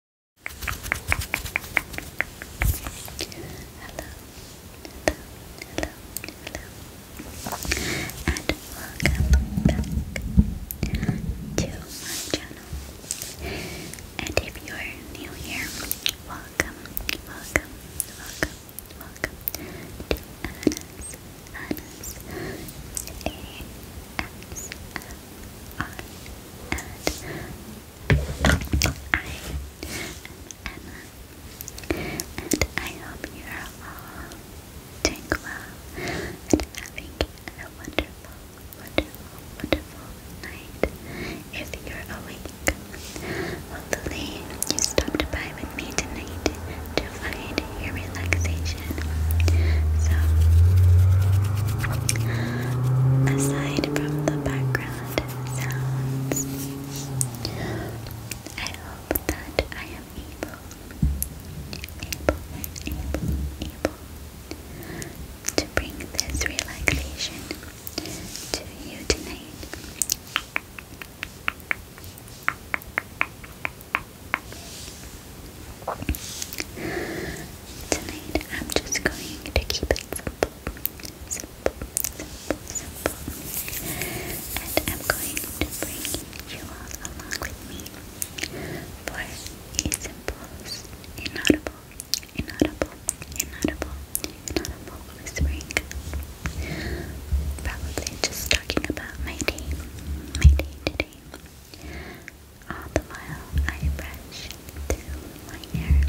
hello, and welcome back to my channel. And if you are new here, welcome, welcome, welcome, welcome to Anna's, Anna's, A-S-M-R R and I and I hope you are all doing and having a wonderful, wonderful, wonderful night. If you're awake, hopefully you stopped by with me tonight to find your relaxation. So aside from the background sounds. I hope that I am able, able, able, able to bring this relaxation to you tonight. Tonight I'm just going to keep it simple, simple, simple, simple. And I'm going to bring you all along with me for a simple, inaudible, inaudible, inaudible, inaudible whispering. Probably just talking about my day, my day today all the while I brush through my hair.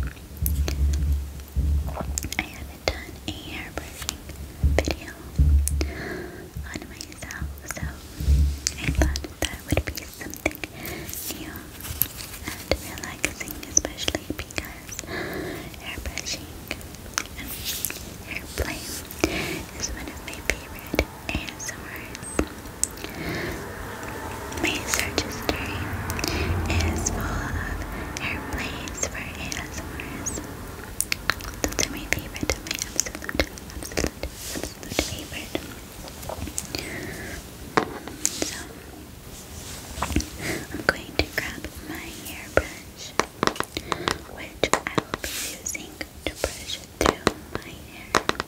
I haven't done a hair brushing video on myself, so I thought that would be something new and relaxing, especially because hair brushing and hair play is one of my favorite ASMRs. My search history is full of airplanes for ASMRs. Those are my favorite, my absolute, absolute, absolute favorite. So, I'm going to grab my hairbrush, which I will be using to brush through my hair.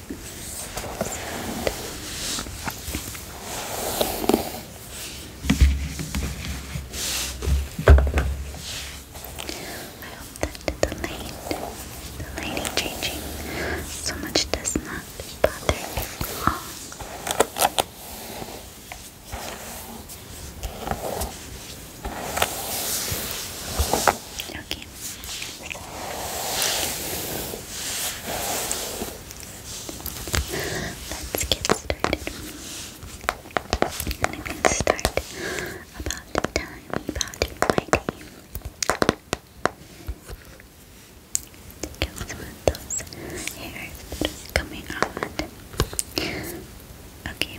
I hope that the light, the lighting changing so much does not bother you Okay, Let's get started. I'm going to start about time, about my day. Get some of those hairs coming out. Okay,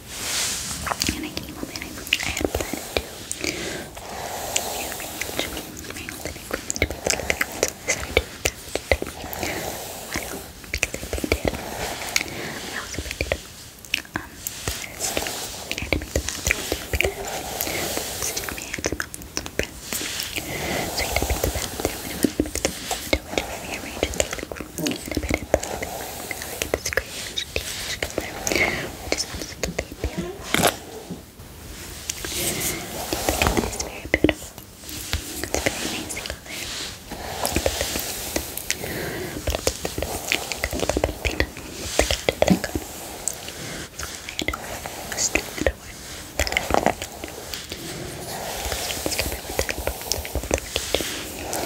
And I came home and I, I had planned to rearrange my whole equipment to be flipped. So I started doing that today. Why not? Because I painted. I also painted um, I had the bathroom because I my some friends. So I had the bathroom and I wanted to make the window, which I and gave it And I painted the living I get this crazy teach color, which is absolutely It's very beautiful. It's a very nice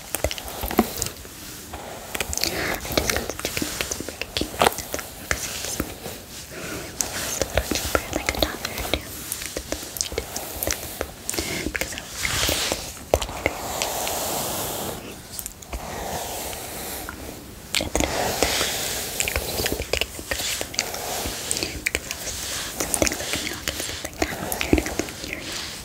I just got the chicken because it's super cute. It was a little cheaper, like a dollar or two. Because I was It's an because I was something like milk and something that I was learning about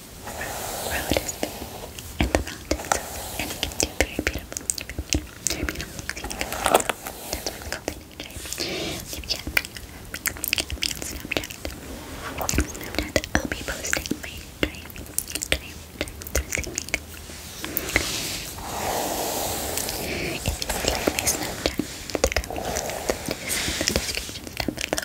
road is the mountains, and it very beautiful, Snapchat, Snapchat, I'll be posting my If you would like my Snapchat to come in the description below.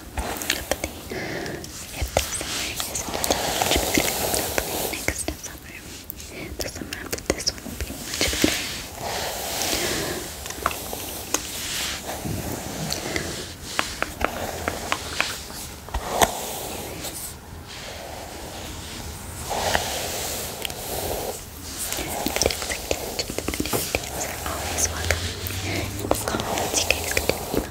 Hopefully, if this summer isn't much better, hopefully summer, the summer after this one will be much better. Videos like that, videos are always welcome. In the comments, you guys can email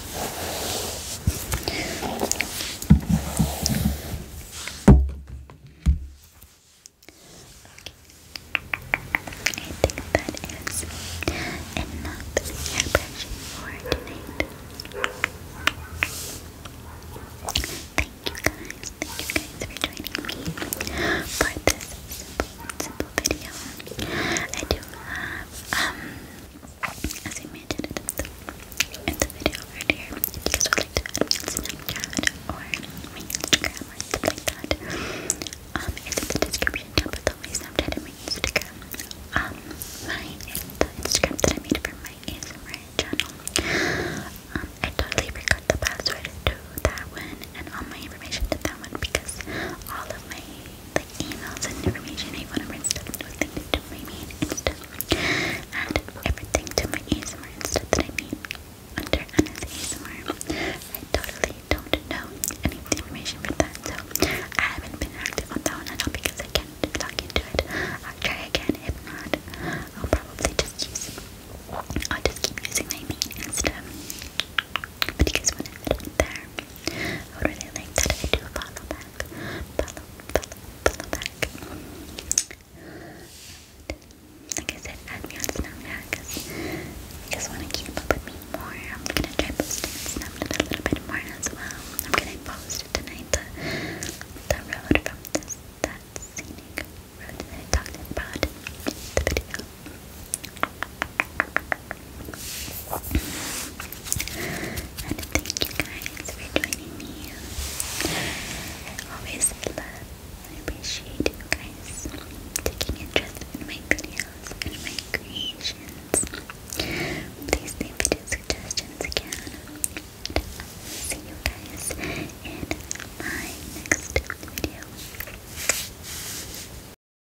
think that is enough hairbrushing for tonight. Thank you guys, thank you guys for joining me for this simple, simple video. I do have um as I mentioned in the, video right here, if you guys would to add on Snapchat or my Instagram or like that, um, it's in the description down below, my Snapchat and my Instagram, um, my, the Instagram that I made for my ASMR channel, um, I totally forgot the password to that one and all my information to that one because all of my like emails and information I want to bring stuff to my main Insta and everything to my ASMR Insta that I mean under Anna's ASMR. I totally don't know any information for that, so I haven't been active on that one at all because I can't talk into it. I'll try again. If not, I'll probably just use I'll just keep using my main Insta. But you guys want to head in there. I would that if do follow back. Follow, follow, follow back. like I said, add me on Snapchat because you want to keep up with me more. I'm gonna try posting Snapchat a little bit more as well. I'm gonna post tonight the, the road from that scenic road that I talked about in the video. And thank you guys for joining me. I always love and appreciate you guys taking interest in my videos and my creations. Please leave video suggestions again. see you guys in my next video.